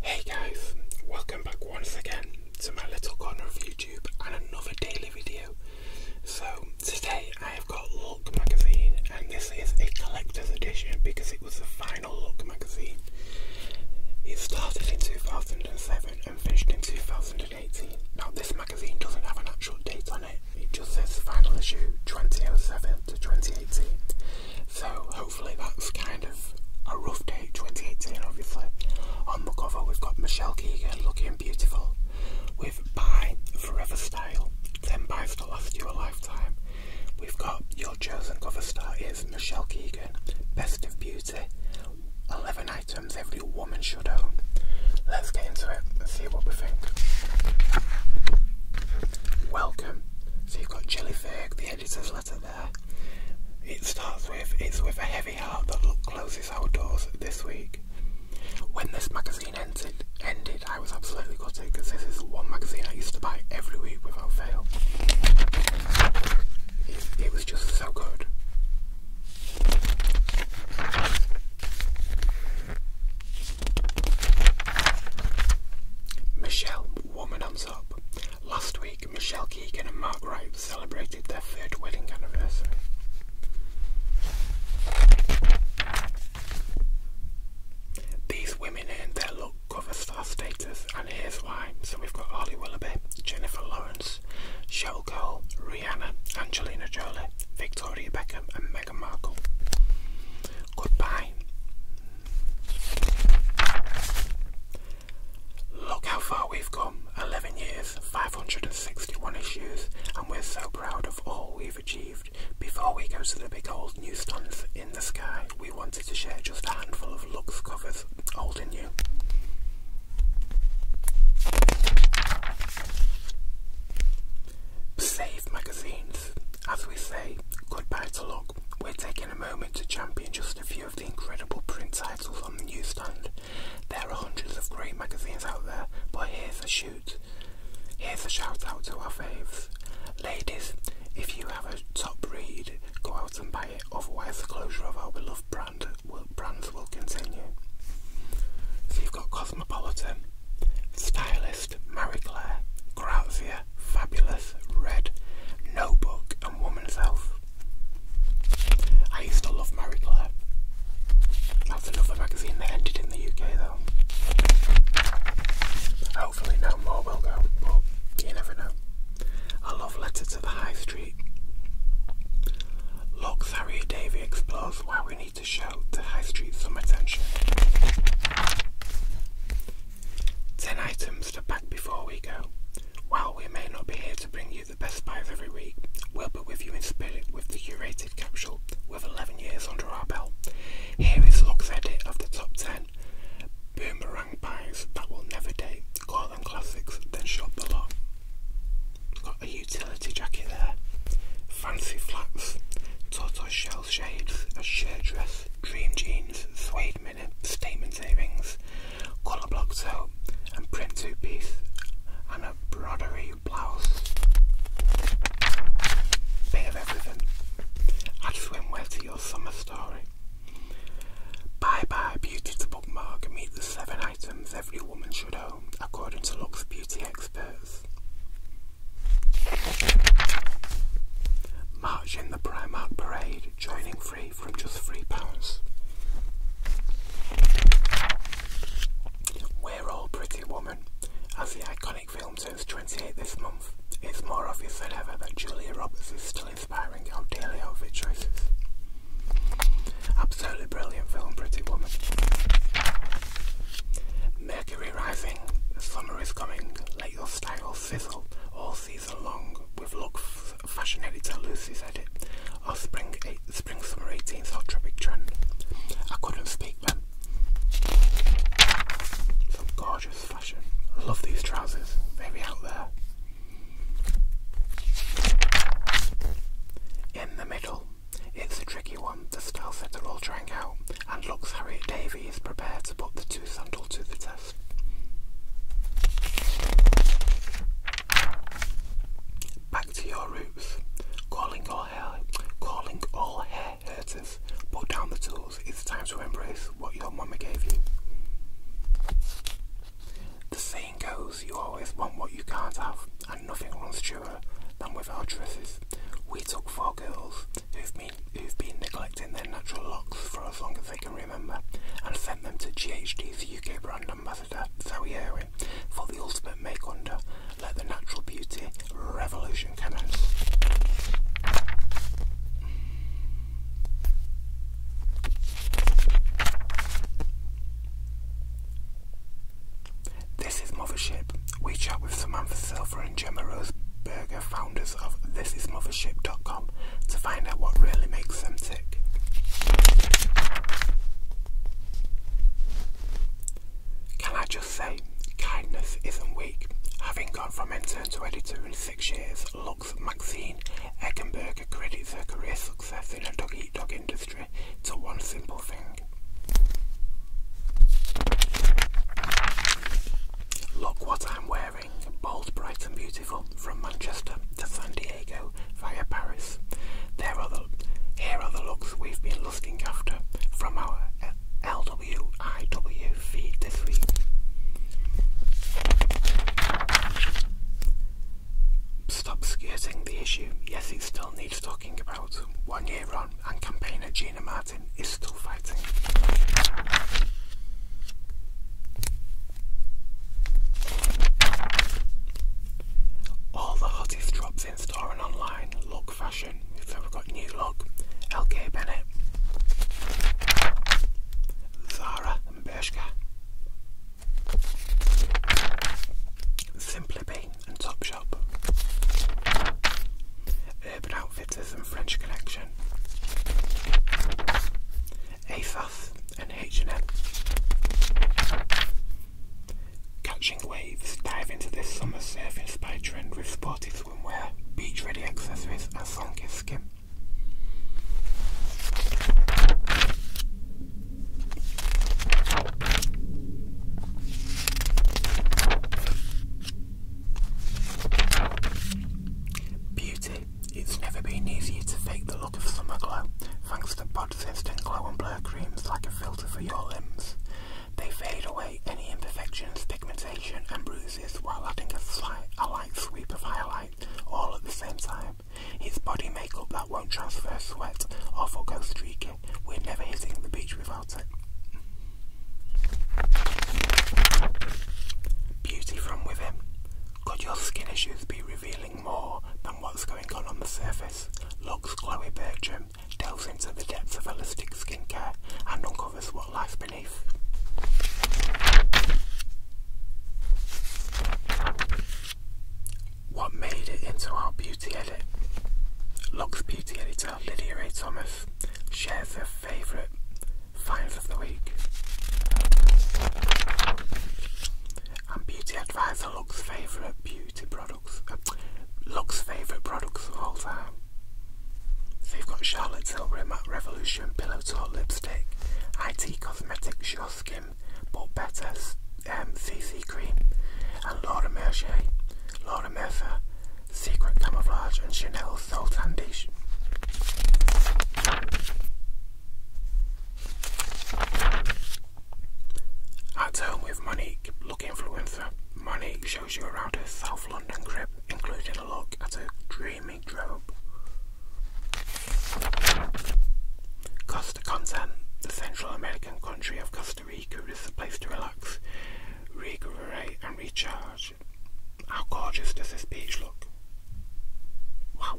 Hey guys, welcome back once again to my little corner of YouTube and another daily video. So today I have got Look magazine and this is a collector's edition because it was the final Look magazine. It started in 2007 and finished in 2018. Now this magazine doesn't have an actual date on it it. just says final issue 2007 to 2018. So hopefully that's kind of a rough date, 2018 obviously. On the cover we've got Michelle Keegan looking beautiful with by Forever Style, Then by buys to last you a lifetime. We've got your chosen cover star is Michelle Keegan, Best of Beauty, 11 items every woman should own. Let's get into it and see what we think. Welcome. So you've got Jelly Fake, the editor's letter there. It starts with, it's with a heavy heart that closes our doors this week. When this magazine ended, ended I was absolutely gutted because this is one magazine I used to buy every week without fail. it was just so good. Michelle Womanums Up. Last week, Michelle Keegan and Mark Wright celebrated their third wedding anniversary. These women earned their look cover star status, and here's why. So we've got Harley Willoughby, Jennifer Lawrence, actors Showgirl, Rihanna, Angelina Jolie, Victoria Beckham, and Meghan Markle. Goodbye. Look how far we've come 11 years, 561 issues, and we're so proud of all we've achieved. Before we go to the big old new newsstands in the sky, we wanted to share just a handful of Lux covers, old and new. Save magazines. As we say, goodbye to luck. We're taking a moment to champion just a few of the incredible print titles on the newsstand. There are hundreds of great magazines out there, but here's a shoot. Here's a shout out to our faves. Ladies, if you have a top read, go out and buy it, otherwise closure of our beloved brand brand will, brands will continue. So you've got Cosmopolitan, Stylist, Marie Claire, Grazia, Fabulous, Red, Notebook, and Woman's Health. I used to love Marie Claire. That's another magazine that ended in the UK though. Hopefully no more will go, but you never know. I love Letter to the High Street. Lochtharia Davy explores why we need to show the High Street some attention. 10 items to pack before we go. While we may not be here to bring you the best buys every week, we'll be with you in spirit with the curated capsule with 11 years under our belt. Here is Luck's edit of the top 10 boomerang pies that will never date. Call them classics, then shop the Got a utility jacket there, fancy flats, tortoiseshell shades, a shirt dress, dream jeans, suede minis, statement savings, colour block tote, and print two piece, and a broderie blouse. Bit of everything. I Add well to your summer story. Bye bye beauty bookmark meet the seven items every woman should own, according to Lux Beauty experts. March in the Primark Parade, joining free from just £3. We're all pretty woman. As the iconic film turns 28 this month, it's more obvious than ever that Julia Roberts' inspiring our daily outfit choices. Absolutely brilliant film, Pretty Woman. Mercury rising, summer is coming, let your style sizzle all season long with look fashion editor Lucy's edit or spring, eight, spring summer 18th hot tropic trend. I couldn't speak then. Some gorgeous fashion. I love these trousers, Maybe out there. In the middle, it's a tricky one. The style are all trying out, and looks Harriet Davy is prepared to put the two sandal to the test. Back to your roots. Calling all hair, calling all hair hurters. Put down the tools. It's time to embrace what your mama gave you. The saying goes, you always want what you can't have, and nothing runs truer than with our dresses. We took four girls who've been, neglecting their natural locks for as long as they can remember and sent them to GHD's UK brand ambassador, Zoe Irwin, for the ultimate make under. Let the natural beauty revolution commence. This is Mothership. We chat with Samantha Silver and Gemma Roseberger, founders of thisismothership.com, to find out what really makes them tick. Can I just say, kindness isn't weak. Having gone from intern to editor in six years, Maxine Eggenberger credits her career success in the doggy dog industry to one simple thing. Look what I'm wearing, bold, bright and beautiful, from Manchester to San Diego via Paris. There are the, here are the looks we've been lusting after from our LWIW Stop skirting the issue. Yes, it still needs talking about. One year on, and campaigner Gina Martin is still fighting. All the hottest drops in store and online look fashion. we've got new look, LK Bennett Zara and Bershka. Simply Be and Topshop. Urban Outfitters and French Connection. ASOS and H&M. Catching waves, dive into this summer surfing spy trend with sporty swimwear, beach ready accessories and sun-kissed skin. Beauty. It's never been easier to fake the look of summer glow thanks to Pod's Instant Glow and Blur creams like a filter for your limbs. They fade away any imperfections, pigmentation and bruising while adding a slight allight sweep of highlight all at the same time. His body makeup that won't transfer sweat or forego streaking. We're never hitting the beach without it. Beauty from within. Could your skin issues be revealing more than what's going on on the surface? Looks Chloe Bertram delves into the depths of holistic skincare and uncovers what lies what made it into our beauty edit? Lux beauty editor Lydia A. Thomas shares her favourite finds of the week. And beauty advisor Lux favourite beauty products. Uh, favourite products of all time. So you've got Charlotte Tilbury Matte Revolution Pillow Talk Lipstick, IT Cosmetics Your Skin But Better um, Cream, and Laura Mercier, Laura Mercer, Secret Camouflage, and Chanel Soul Tandish. At home with Monique, look influencer, money shows you around her South London crib, including a look at her dreamy Drop. Costa Content, the Central American country of Costa Rica, is the place to relax, recuperate, and recharge. How gorgeous does this beach look? Wow!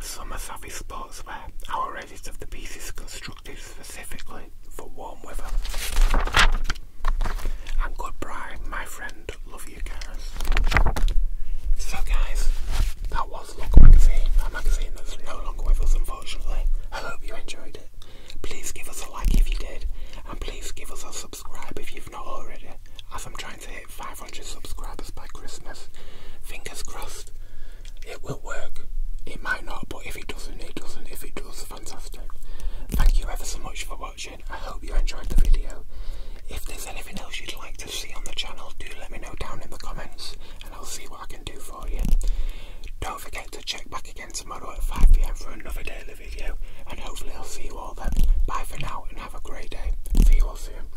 Summer savvy sportswear, our of the piece constructed specifically for warm weather. And goodbye, my friend. Love you guys. So, guys, that was Look Magazine, a magazine that's no longer with us, unfortunately. I hope you enjoyed it. Please give us a like if you did, and please give us a subscribe if you've not already, as I'm trying to hit 500 subscribers by Christmas. Fingers crossed. It will work. It might not, but if it doesn't, it doesn't. If it does, it's fantastic. Thank you ever so much for watching. I hope you enjoyed the video. If there's anything else you'd like to see on the channel, do let me know down in the comments and I'll see what I can do for you. Don't forget to check back again tomorrow at 5pm for another daily video and hopefully I'll see you all then. Bye for now and have a great day. See you all soon.